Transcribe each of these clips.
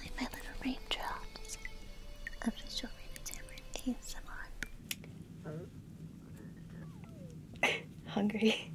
I'm my little raindrops. I'm just showing you Tamara ASMR. Hungry.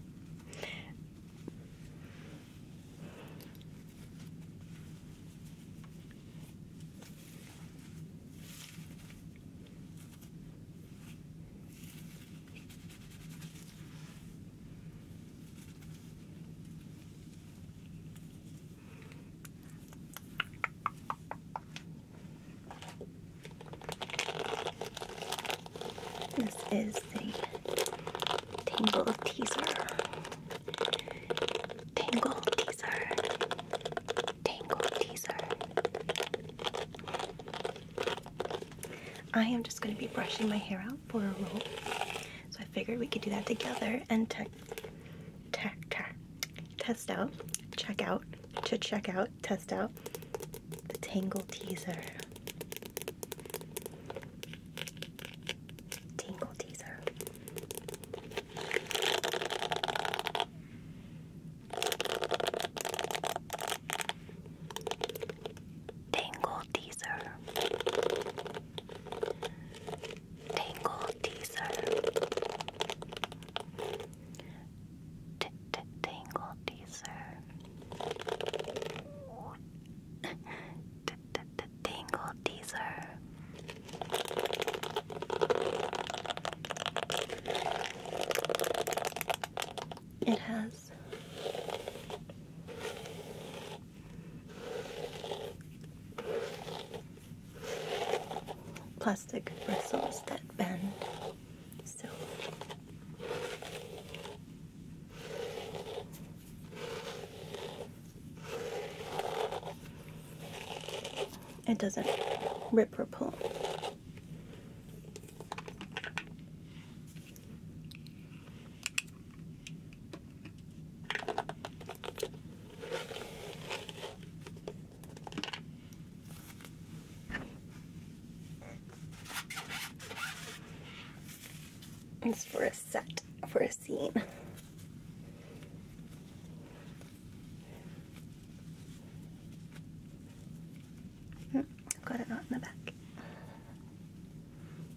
This is the Tangle Teaser. Tangle Teaser. Tangle Teaser. I am just going to be brushing my hair out for a roll. So I figured we could do that together and te te test out, check out, to check out, test out the Tangle Teaser. Tangle Teaser. Tingle teaser. Tangle Teaser T -t Tangle Teaser T -t -t Tangle Teaser It has plastic bristles that bend. So it doesn't rip or pull. It's for a set, for a scene. Hmm, got it on the back.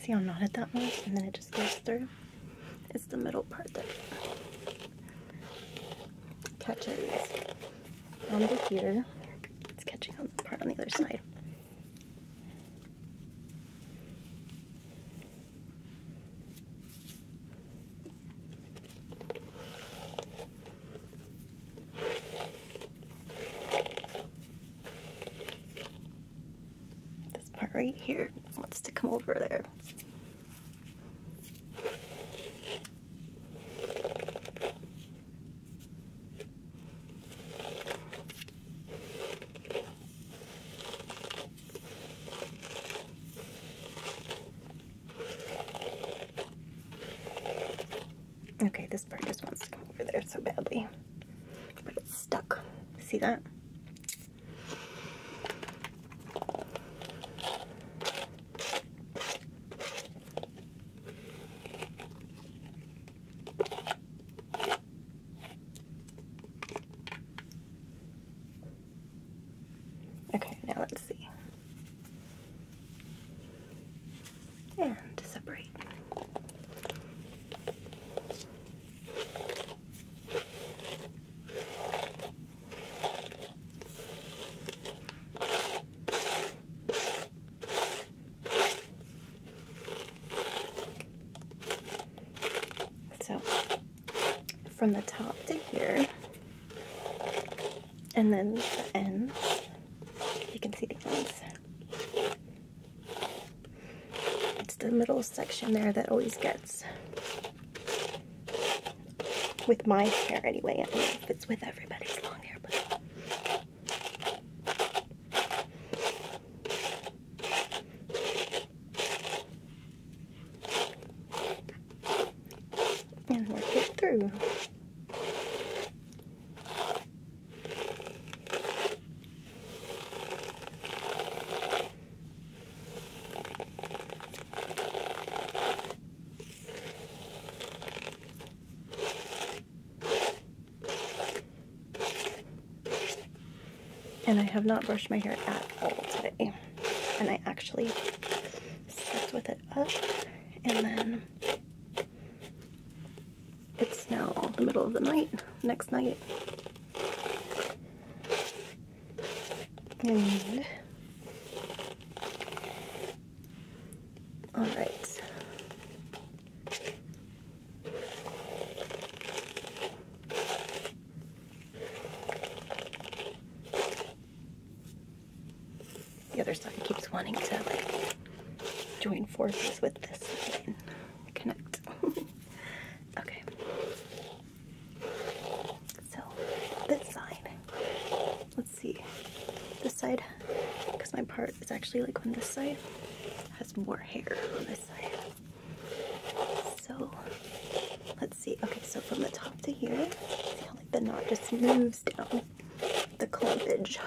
See how at that was? And then it just goes through. It's the middle part that catches onto here. It's catching on the part on the other side. This part right here wants to come over there. Okay, this bird just wants to come over there so badly. But it's stuck. See that? Okay, now let's see. And separate. So from the top to here, and then the ends, you can see the ends. It's the middle section there that always gets with my hair anyway. I do it's with everybody's long hair, but and work it through. And I have not brushed my hair at all today. And I actually slept with it up and then it's now the middle of the night, next night. And all right. The other side keeps wanting to join forces with this connect. okay. So this side see this side because my part is actually like on this side has more hair on this side so let's see okay so from the top to here see how like the knot just moves down the clumpage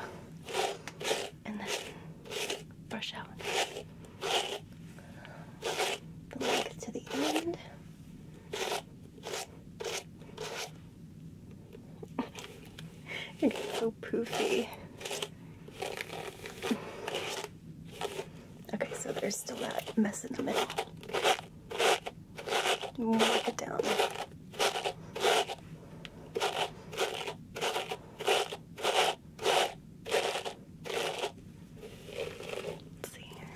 and then brush out the length to the end it's so poofy. Okay, so there's still that mess in the middle. Wipe it down. Let's see here.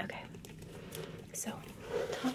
Okay, so top.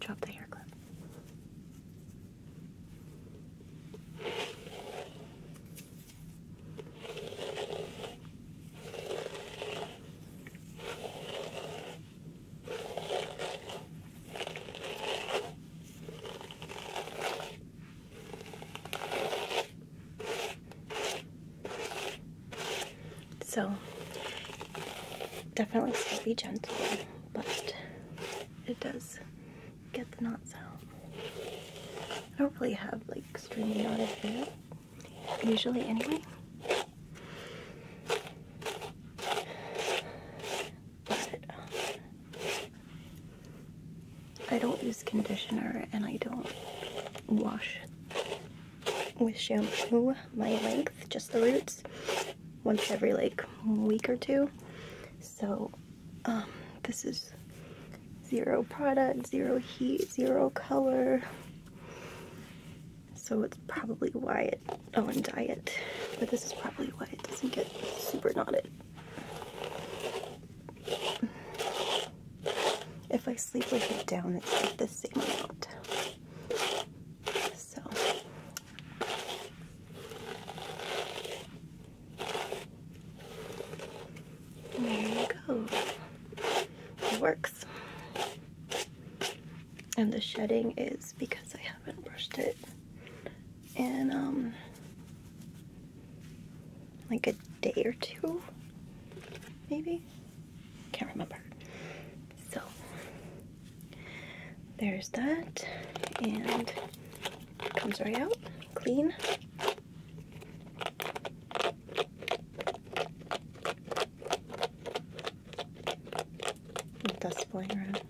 Drop the hair clip. So, definitely still be gentle, but it does get the knots out. I don't really have like stringy knotted hair usually anyway. But um, I don't use conditioner and I don't wash with shampoo my length, just the roots, once every like week or two. So um, this is zero product, zero heat, zero color. So it's probably why it, oh and dye it. but this is probably why it doesn't get super knotted. If I sleep with it down, it's like the same amount. So there you go. It works. And the shedding is because I haven't brushed it in um like a day or two maybe. Can't remember. So there's that, and it comes right out, clean. Dust flying around.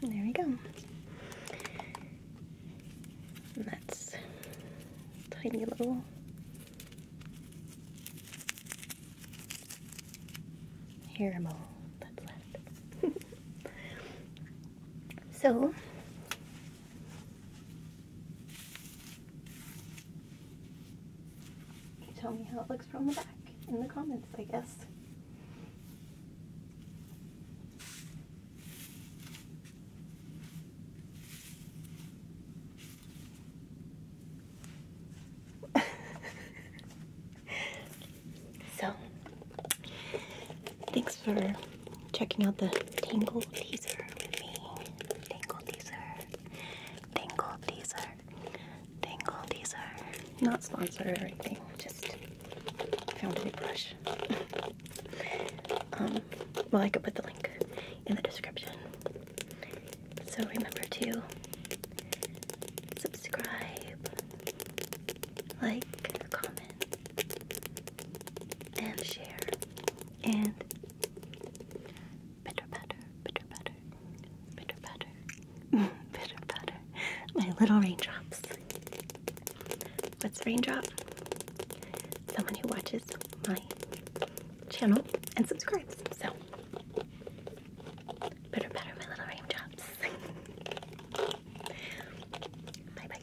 There we go. And that's tiny little here i that's left. so you tell me how it looks from the back in the comments, I guess. So, thanks for checking out the Tangle teaser with me. Tangle teaser. Tangle teaser. Tangle teaser. Not sponsored or anything, just found a brush. um, well, I could put the link in the description. So remember to subscribe, like, comment, and share. And bitter patter, bitter patter, bitter patter, bitter patter. My little raindrops. What's raindrop? Someone who watches my channel and subscribes. So Better, better, my little rain bye bye.